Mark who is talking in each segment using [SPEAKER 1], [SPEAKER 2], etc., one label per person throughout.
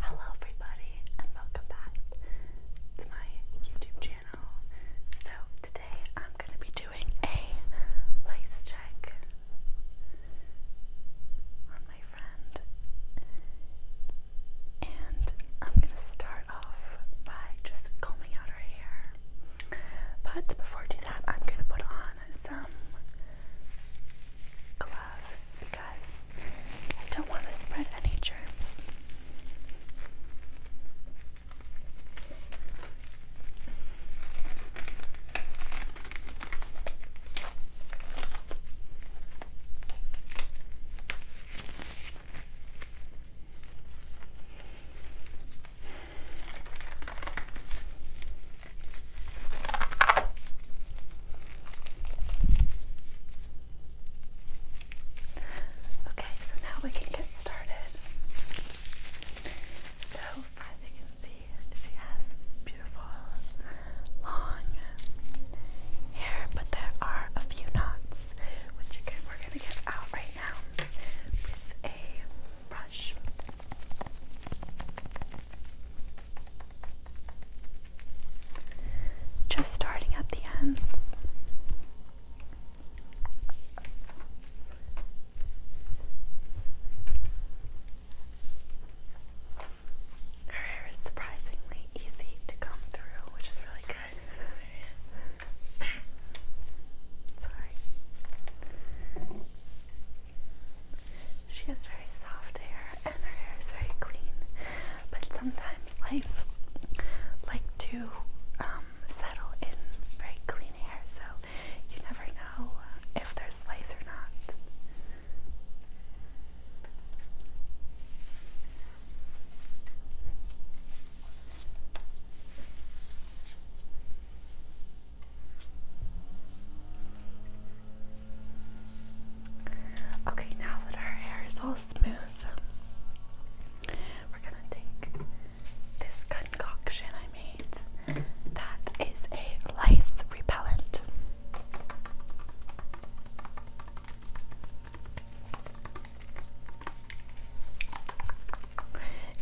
[SPEAKER 1] Hello everybody and welcome back to my YouTube channel. So today I'm going to be doing a lace check on my friend and I'm going to start off by just combing out her hair. But before do that I'm going to put on some gloves because I don't want to spread any germs. Okay, so now we can get started. So, as you can see, she has beautiful long hair, but there are a few knots, which we're going to get out right now with a brush. Just starting at the ends. Her hair is surprisingly easy to comb through, which is really good. Sorry. She has very soft hair and her hair is very clean but sometimes lice like to um, settle in very clean hair, so you never know uh, if there's lice or not. Okay, now that our hair is all smooth, we're gonna take this concoction I made that is a lice repellent.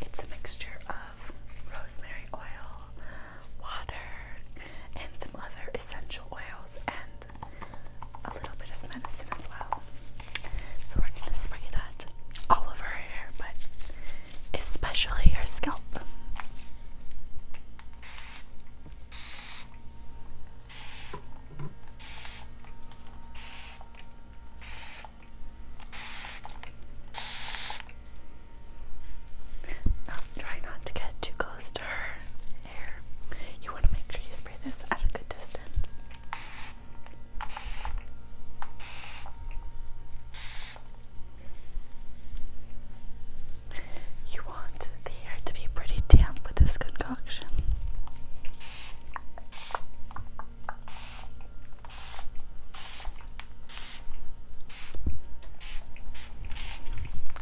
[SPEAKER 1] It's a mixture of rosemary oil, water, and some other essential oils and and a little bit of medicine as well. So we're going to spray that all over her hair, but especially her scalp. Oh, try not to get too close to her. You want to make sure you spray this at a good distance. You want the hair to be pretty damp with this concoction.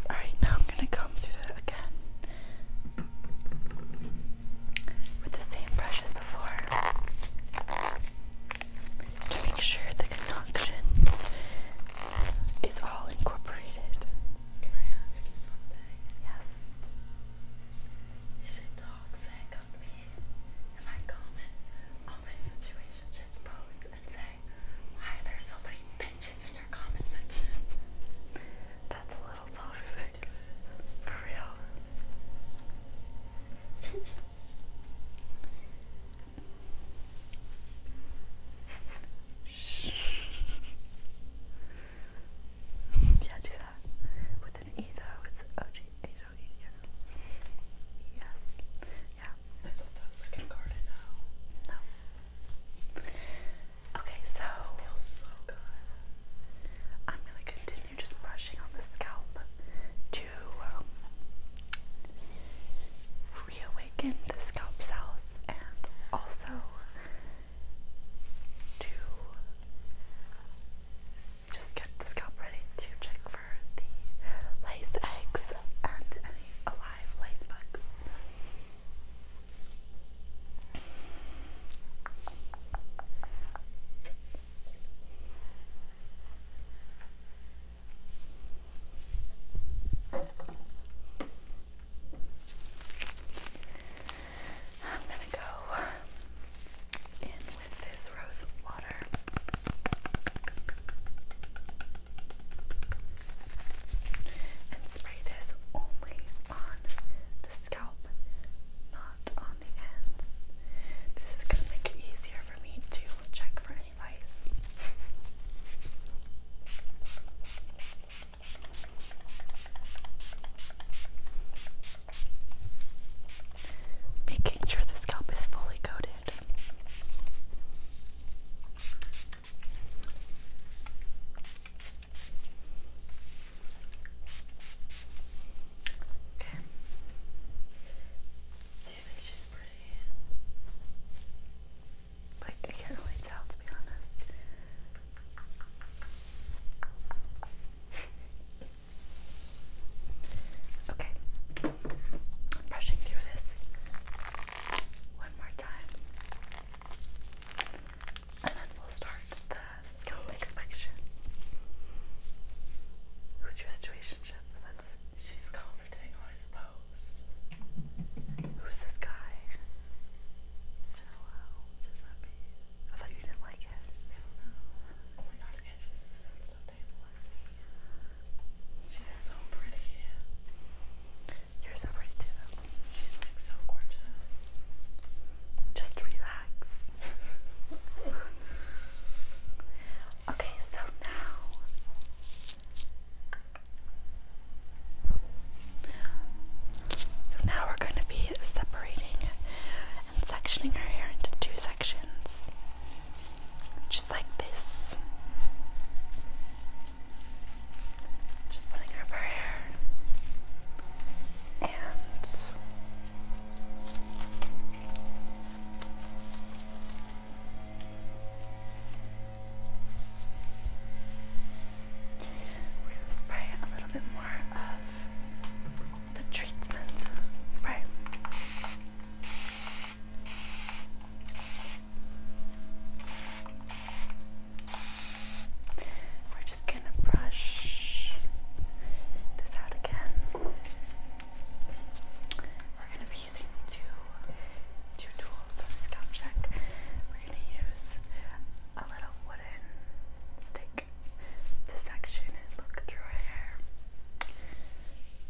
[SPEAKER 1] Alright, now I'm going to come through that again with the same brush as before to make sure the concoction is all incorporated. Can I ask you something? Yes. Is it toxic of me if I comment on my situation post and say, why are so many changes in That's a little toxic. For real. yeah, do that. With an E though, it's O G H O E. Yeah. No. Okay, so I'm gonna continue just brushing on the scalp to um, reawaken the scalp cells and also to just get the scalp ready to check for the lace eggs and any alive lace bugs. I'm going to go in with this rose water. And spray this only on the scalp, not on the ends. This is going to make it easier for me to check for any lice. Making sure the scalp is fully coated. Okay. Do you think she's pretty? Like, I can't really tell, to be honest. okay. brushing through this one more time. And then we'll start the scalp inspection. Who's your situationship? That's she's commenting on his Who's this guy? Jello. Giuseppe. I thought you didn't like it. I don't know. Oh my god, Angie's the sensitive to She's so pretty. You're so pretty She's like so gorgeous. Just relax. okay, so now so now we're going to be separating and sectioning her hair into two sections. Just like this. Just putting over here. And spray a little bit more of the treatment spray. We're just going to brush this out again. We're going to be using two two tools on scalp check. We're going to use a little wooden stick to section and look through her hair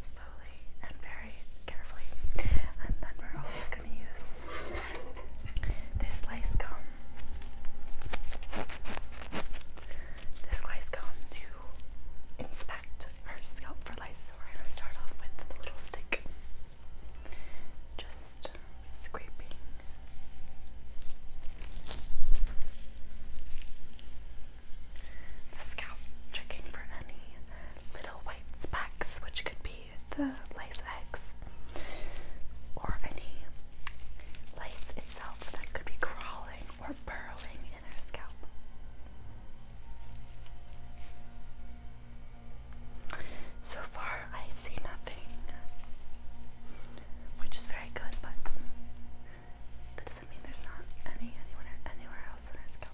[SPEAKER 1] slowly and very carefully. And then we're also going to use this lace comb. This lace comb to inspect our scalp for lice. So we're going to start off with the little stick. Just scraping. The scalp checking for any little white specks, which could be the lice eggs or any lice itself that could be crawling or burrowing in her scalp. So far, I see nothing, which is very good, but that doesn't mean there's not any anywhere, anywhere else in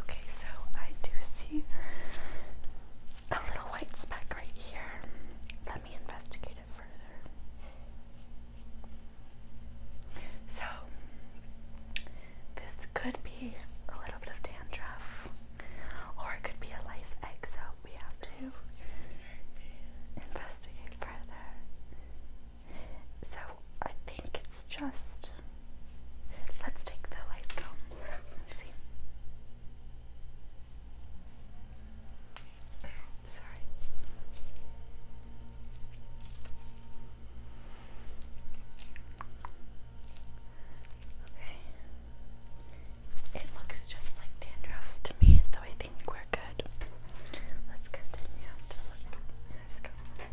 [SPEAKER 1] Okay, so I do see a little white speck right here. Let me investigate it further. So, this could be a little bit of dandruff. Or it could be a lice egg, so we have to investigate further. So I think it's just. Let's take the lice comb. Let's see. Sorry. Okay. It looks just like dandruff to me, so I think we're good. Let's continue to look at our scalp.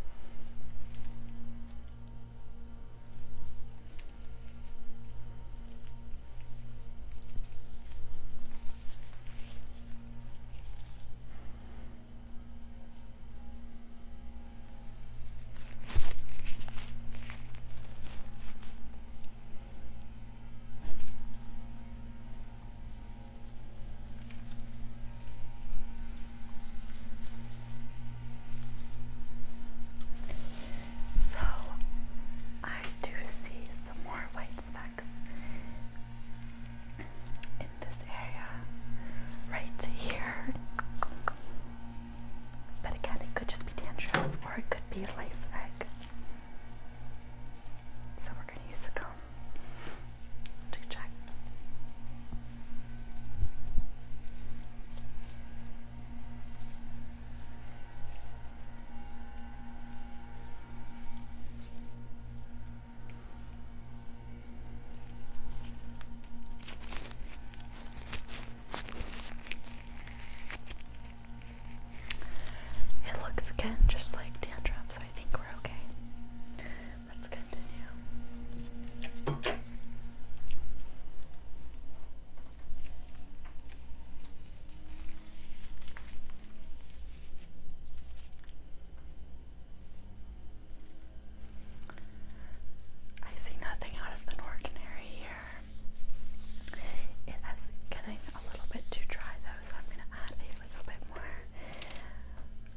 [SPEAKER 1] So I do see some more white specks in this area right here. But again, it could just be dandruff or it could be a lace egg. So we're going to use the comb to check. It looks again just like dandruff, so I think we're okay. Let's continue. I see nothing out of the ordinary here. It is getting a little bit too dry though, so I'm going to add a little bit more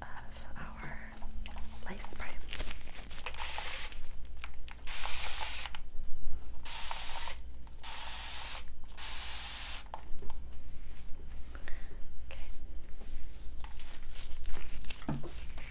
[SPEAKER 1] of our lace spray. Okay.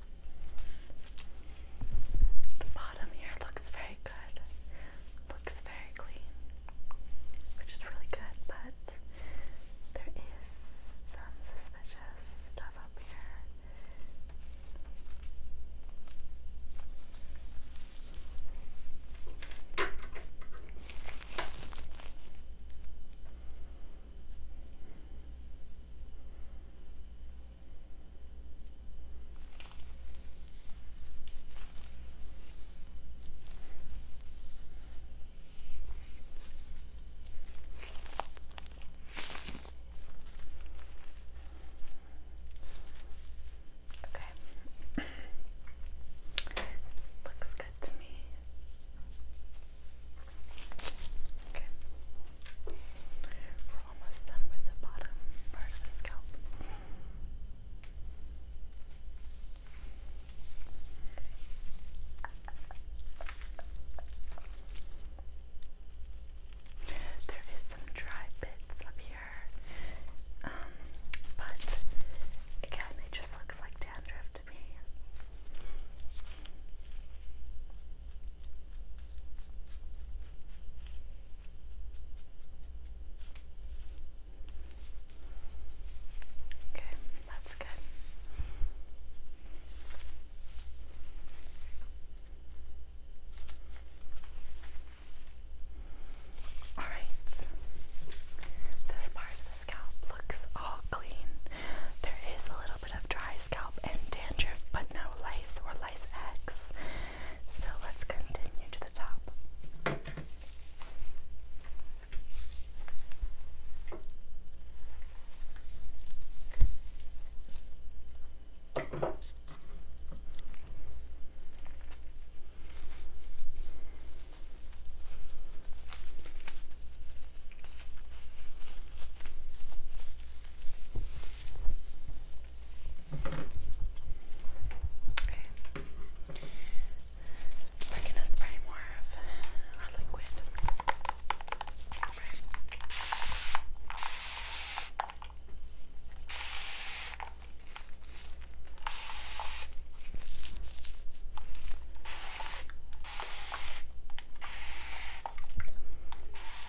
[SPEAKER 1] the bottom here looks very good. Looks very clean. Which is really good, but there is some suspicious stuff up here. Okay. Looks good to me. Okay. We're almost done with the bottom part of the scalp. There is some dry bits up here, um, but again, it just looks like dandruff to me. Okay, that's good. All right. This part of the scalp looks all clean. There is a little bit of dry scalp and dandruff, but no lice or equalize x. So let's continue to the top. Okay. We're gonna spray more of our liquid. Spray. Okay.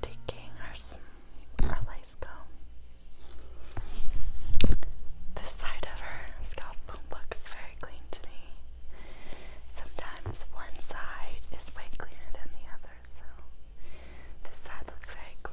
[SPEAKER 1] Taking our, our lice comb. This side of her scalp looks very clean to me. Sometimes one side is way cleaner than the other so this side looks very clean.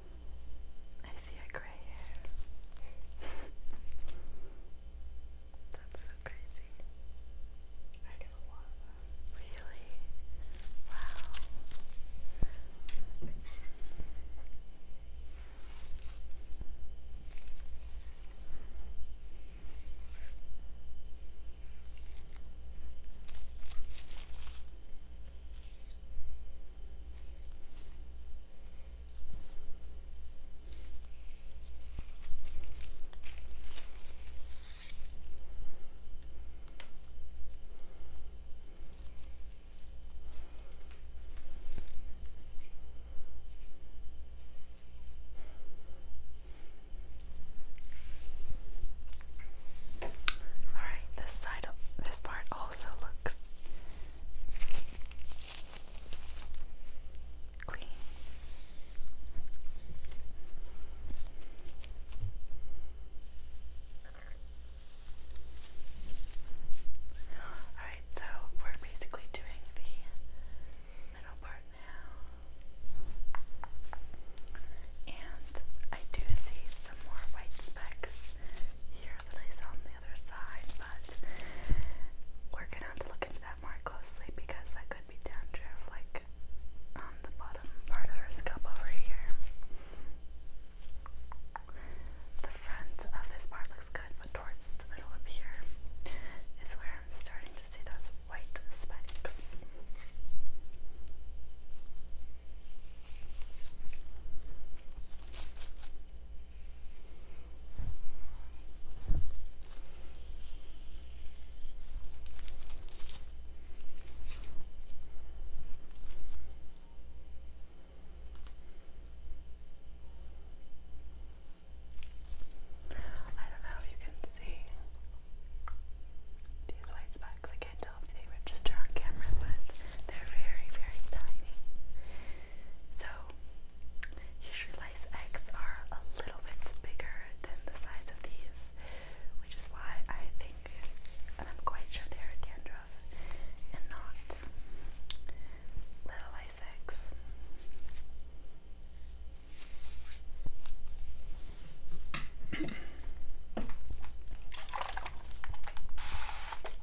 [SPEAKER 1] I see a gray hair. That's so crazy. I get a lot of Really? Wow. All right, this side this part also looks Clean. Alright, so we're basically doing the middle part now. And I do see some more white specks here here on the other side, but we're gonna have to look into that more closely because that could be dandruff, like on um, the bottom part of her scalp over here. The front of this part looks good, but towards the middle of here is where I'm starting to see those white spikes. I don't know if you can see these white specks. I can't tell if they register on camera, but they're very, very tiny. So, usually lice eggs are a little bit bigger than the size of these, which is why I think, and I'm quite sure they're dandruff and not little lice eggs.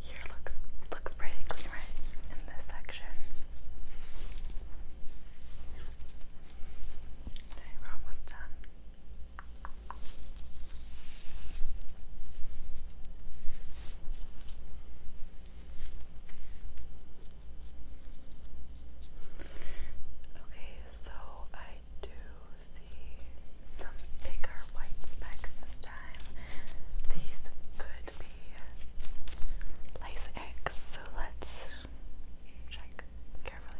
[SPEAKER 1] Here looks looks pretty clean right in this section. we're almost done. Okay, so I do see some bigger white specks this time. These could be lace eggs, so let's check carefully.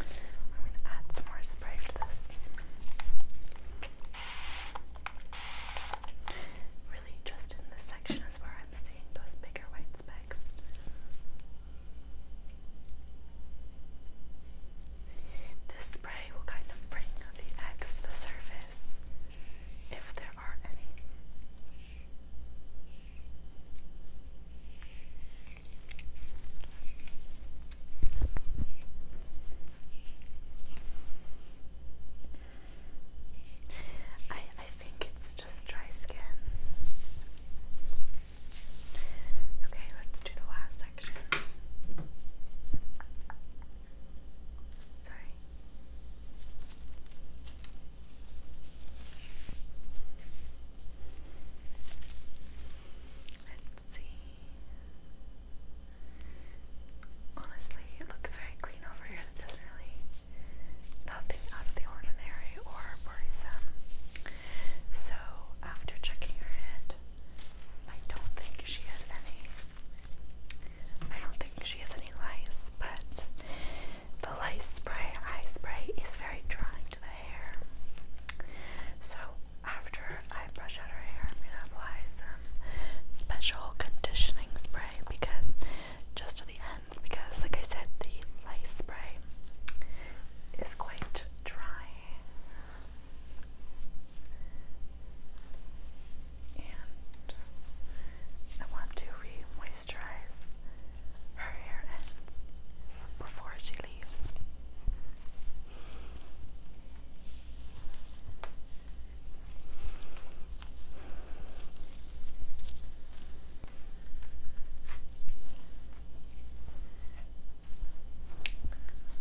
[SPEAKER 1] I'm going to add some more spray to this just in this section is where I'm seeing those bigger white specks. This spray will kind of bring the eggs to the surface if there are any. I I think it's just dry skin. Okay, let's do the last section. Sorry. Let's see. Honestly, it looks very clean over here area really, nothing out of the ordinary or worrisome. So, after checking her head, I don't think she has any. I don't think she has any lice, but the lice spray, eye spray, is very drying to the hair. So, after I brush out her hair, I'm gonna apply some special conditioning spray because just at the end because, like I said, the light spray is quite dry. And I want to re moisturize her hair ends before she leaves.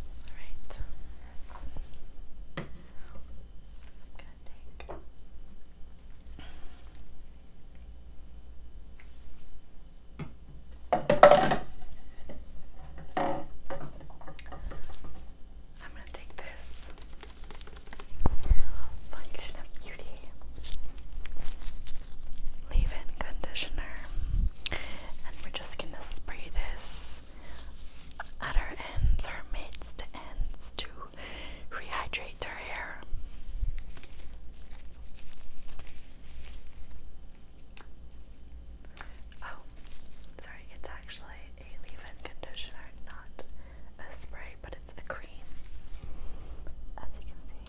[SPEAKER 1] Alright. I'm gonna take I'm gonna take this Function of Beauty Leave-In Conditioner. And we're just gonna spray this at her ends, her mid to ends to rehydrate her hair. Oh, sorry, it's actually a leave-in conditioner, not a spray, but it's a cream. As you can see.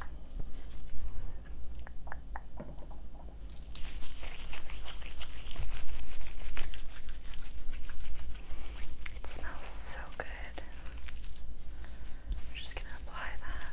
[SPEAKER 1] It smells so good. I'm just going to apply that.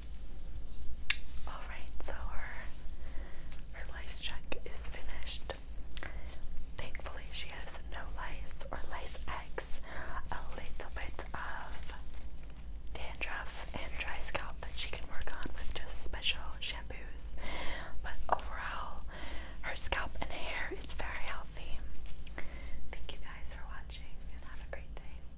[SPEAKER 1] Alright, so her, her lice check is finished. Thankfully, she has no lice or lice eggs, a little bit of dandruff and dry scalp that she can work on with just special shampoos. But overall, her scalp and hair is very healthy. Thank you guys for watching and have a great day.